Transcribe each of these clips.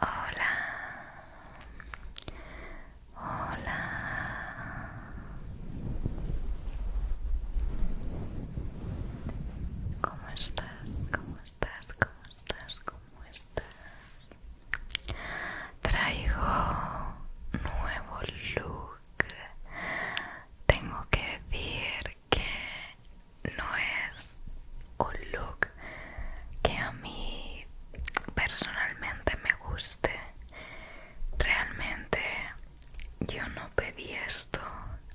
Hola, hola. ¿Cómo estás? ¿Cómo estás? ¿Cómo estás? ¿Cómo estás? Traigo nuevo look. Tengo que decir que no es un look que a mí personalmente me guste. Realmente yo no pedí esto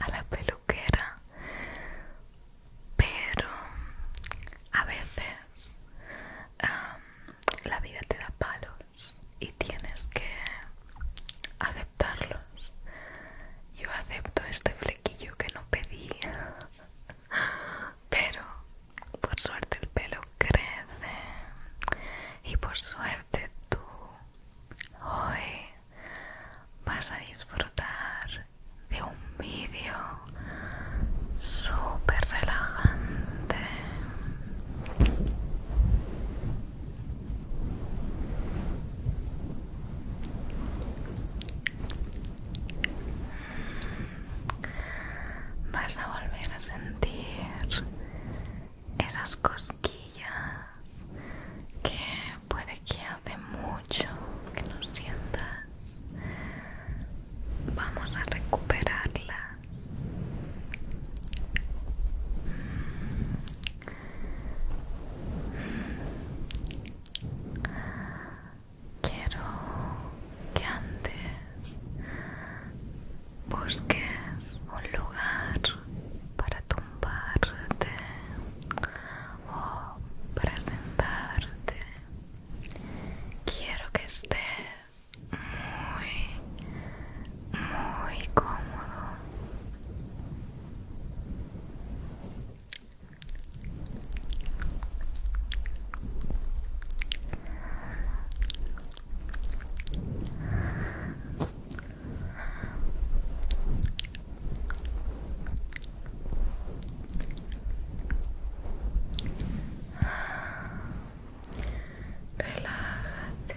a la peluquera, pero a veces la vida te da palos y tienes que hacer yo acepto este flequillo que no pedía, pero por suerte el pelo crece y por suerte tú hoy vas a disfrutar de un vídeo súper relajante Vas a volver a sentir esas cosquillas que puede que hace mucho que no sientas. Vamos a recuperarlas. Quiero que antes busques un lugar para tumbarte o para sentarte. Quiero que estés muy muy cómodo Relájate.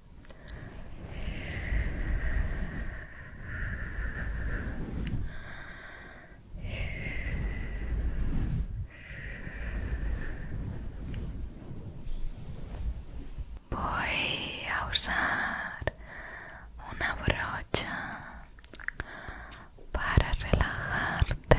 Voy a usar una brocha para relajarte.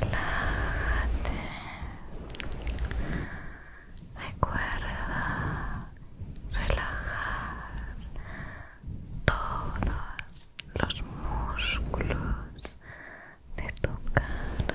Relájate. Recuerda relajar todos los músculos de tu cara.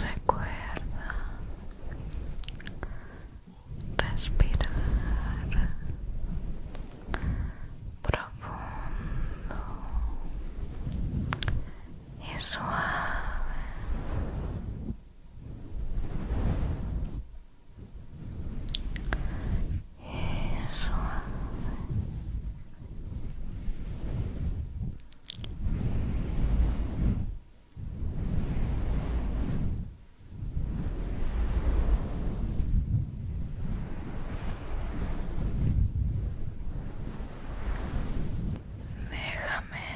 Recuerda respirar profundo y suave y suave Déjame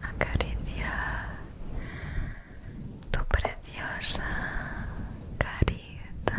acariciar tu preciosa carita.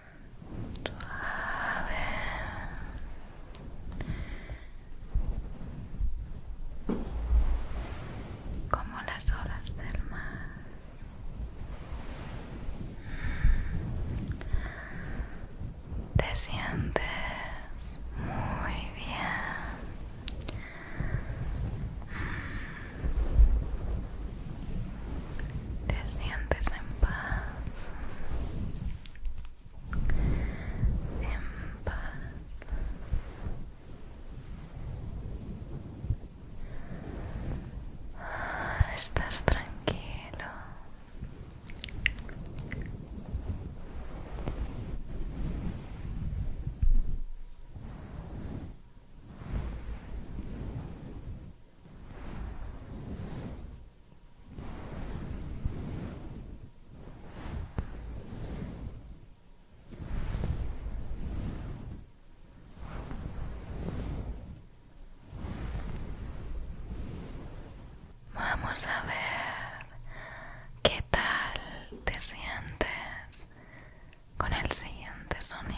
suave como las olas del mar te sientes muy bien te sientes en paz. En paz. Ah, estás tranquilo. Vamos a ver qué tal te sientes con el siguiente sonido.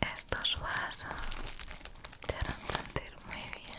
Estos vasos te harán sentir muy bien.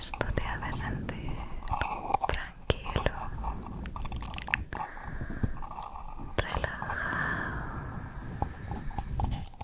Esto te hace sentir tranquilo, relajado.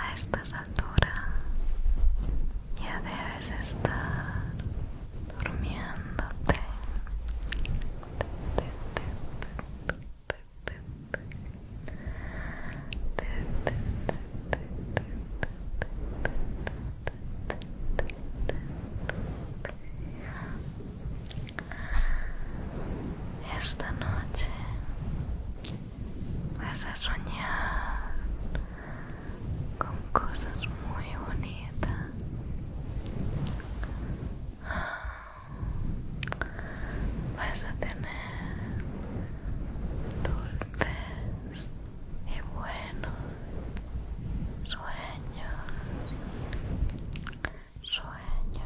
A estas alturas ya debes estar durmiéndote. Esta noche vas a soñar con cosas muy bonitas. Vas a tener dulces y buenos sueños sueños,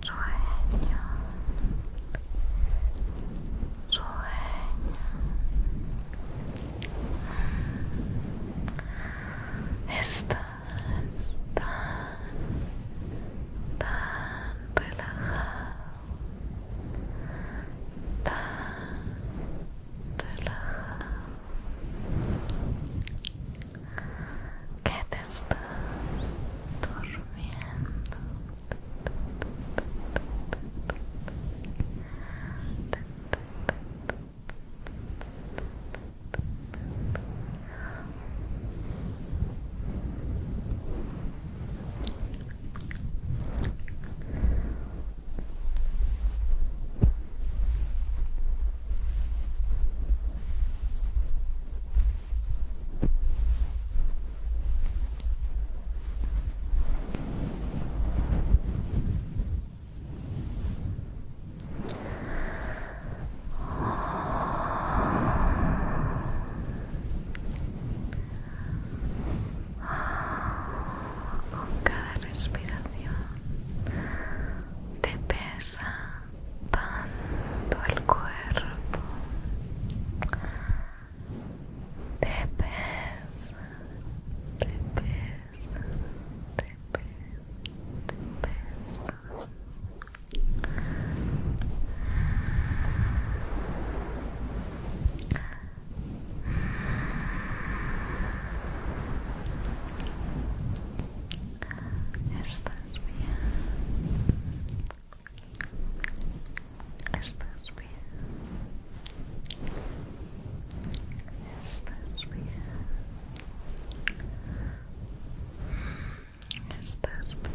sueños sueños Estás tan, tan relajado, tan relajado que te estás durmiendo con cada respiración te pesa tanto el cuerpo, te pesa, te pesa, te pesa, te pesa. Estás bien. Estás bien. Estás bien. Estás bien.